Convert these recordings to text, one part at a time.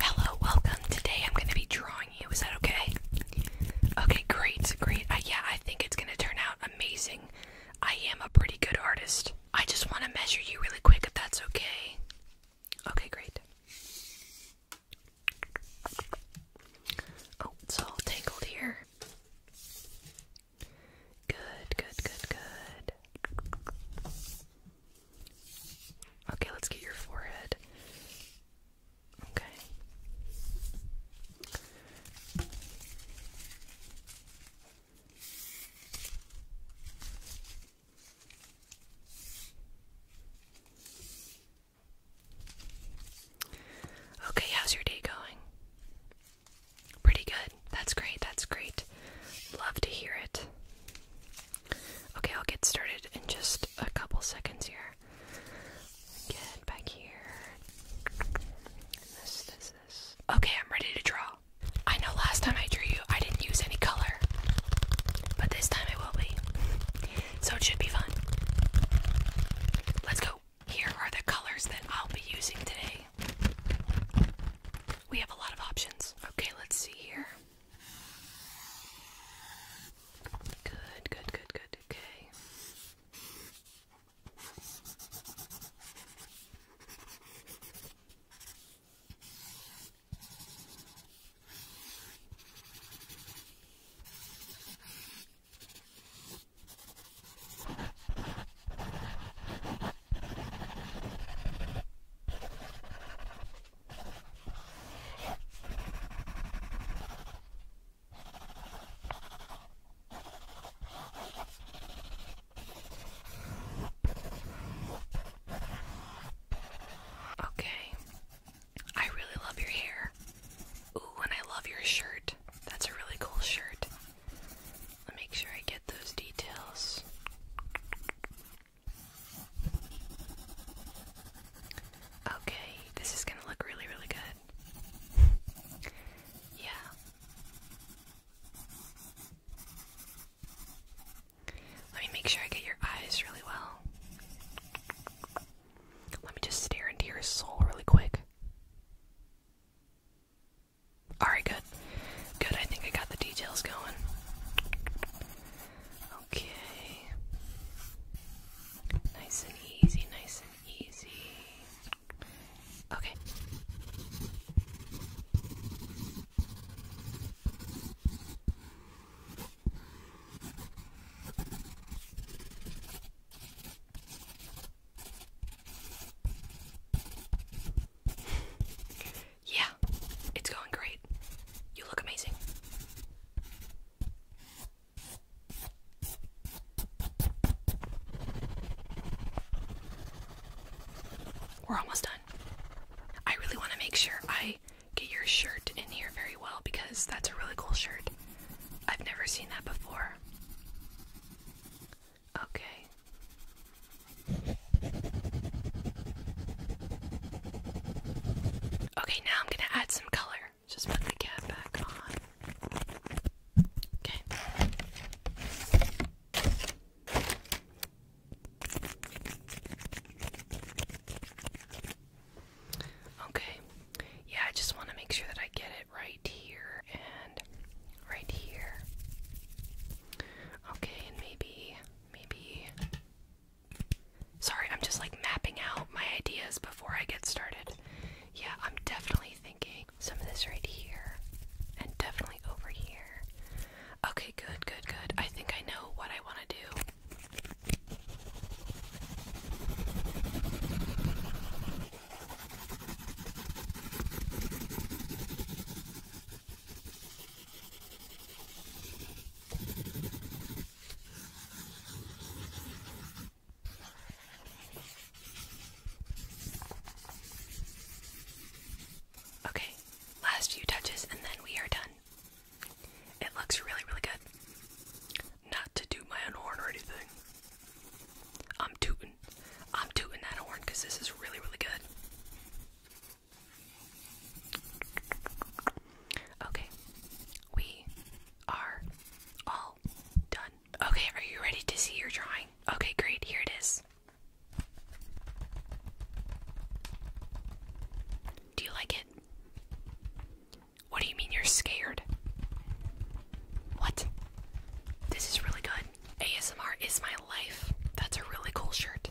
Hello, welcome. Today I'm going to be drawing you. Is that okay? Okay, great, great. yeah, I think it's going to turn out amazing. I am a pretty good artist. I just want to measure you really quick if that's okay. Okay, great. Oh, it's all tangled here. Good, good, good, good. Okay, let's get your forehead. Okay. Okay, how's your day going? Pretty good. That's great. That's great. Love to hear it. Okay, I'll get started in just a couple seconds here. Get back here. Okay, I'm ready to draw. I know last time I drew you, I didn't use any color, but this time I will be. So it should be fun. Let's go. Here are the colors that I'll be using today. We have a lot of options. Okay, let's see here. Good, good, good, good. Okay. Okay. I really love your hair. Ooh, and I love your shirt. That's a really cool shirt. I'll make sure I get those details. Okay, this is gonna look really, really good. yeah. Let me make sure I get your eyes really well. Let me just stare into your soul really quick. Alright, good. Good, I think I got the details going. Okay. Nice and easy, nice and easy. Okay yeah, it's going great. You look amazing. We're almost done. I really want to make sure I get your shirt in here very well because that's a really cool shirt. I've never seen that before. Okay. Okay, now I'm gonna add some color. Just put the cat back on. Okay. Okay yeah, I just want to make sure that I get it right here and right here. Okay, and maybe, maybe. Sorry, I'm just like mapping out my ideas before I get started. Yeah, I'm definitely thinking some of this right here and definitely over here. Okay, good, good, good. I think I know what I want to do. Okay, last few touches and then we are done. It looks really, really good not to do my horn or anything. I'm tooting. I'm tooting that horn because this is really, really good. Okay, we are all done. Okay, are you ready to see your drawing? Okay, great, here it is. Do you like it? What do you mean you're scared? What? This is really good. ASMR is my life. That's a really cool shirt.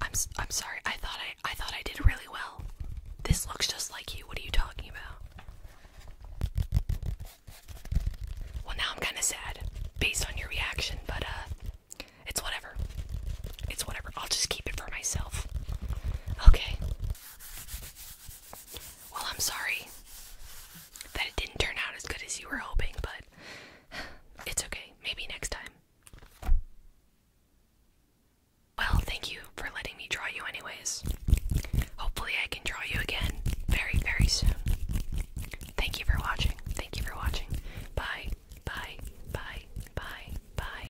I'm I'm sorry. I thought I I thought I did really well. This looks just like you. What are you talking about? Well, now I'm kind of sad based on your reaction, but uh it's whatever. It's whatever. I'll just keep it for myself. Okay. Well, I'm sorry that it didn't turn out as good as you were hoping, but it's okay. Maybe next time. Well, thank you for letting me draw you, anyways. Hopefully, I can draw you again very, very soon. Thank you for watching. Thank you for watching. Bye, bye, bye, bye, bye.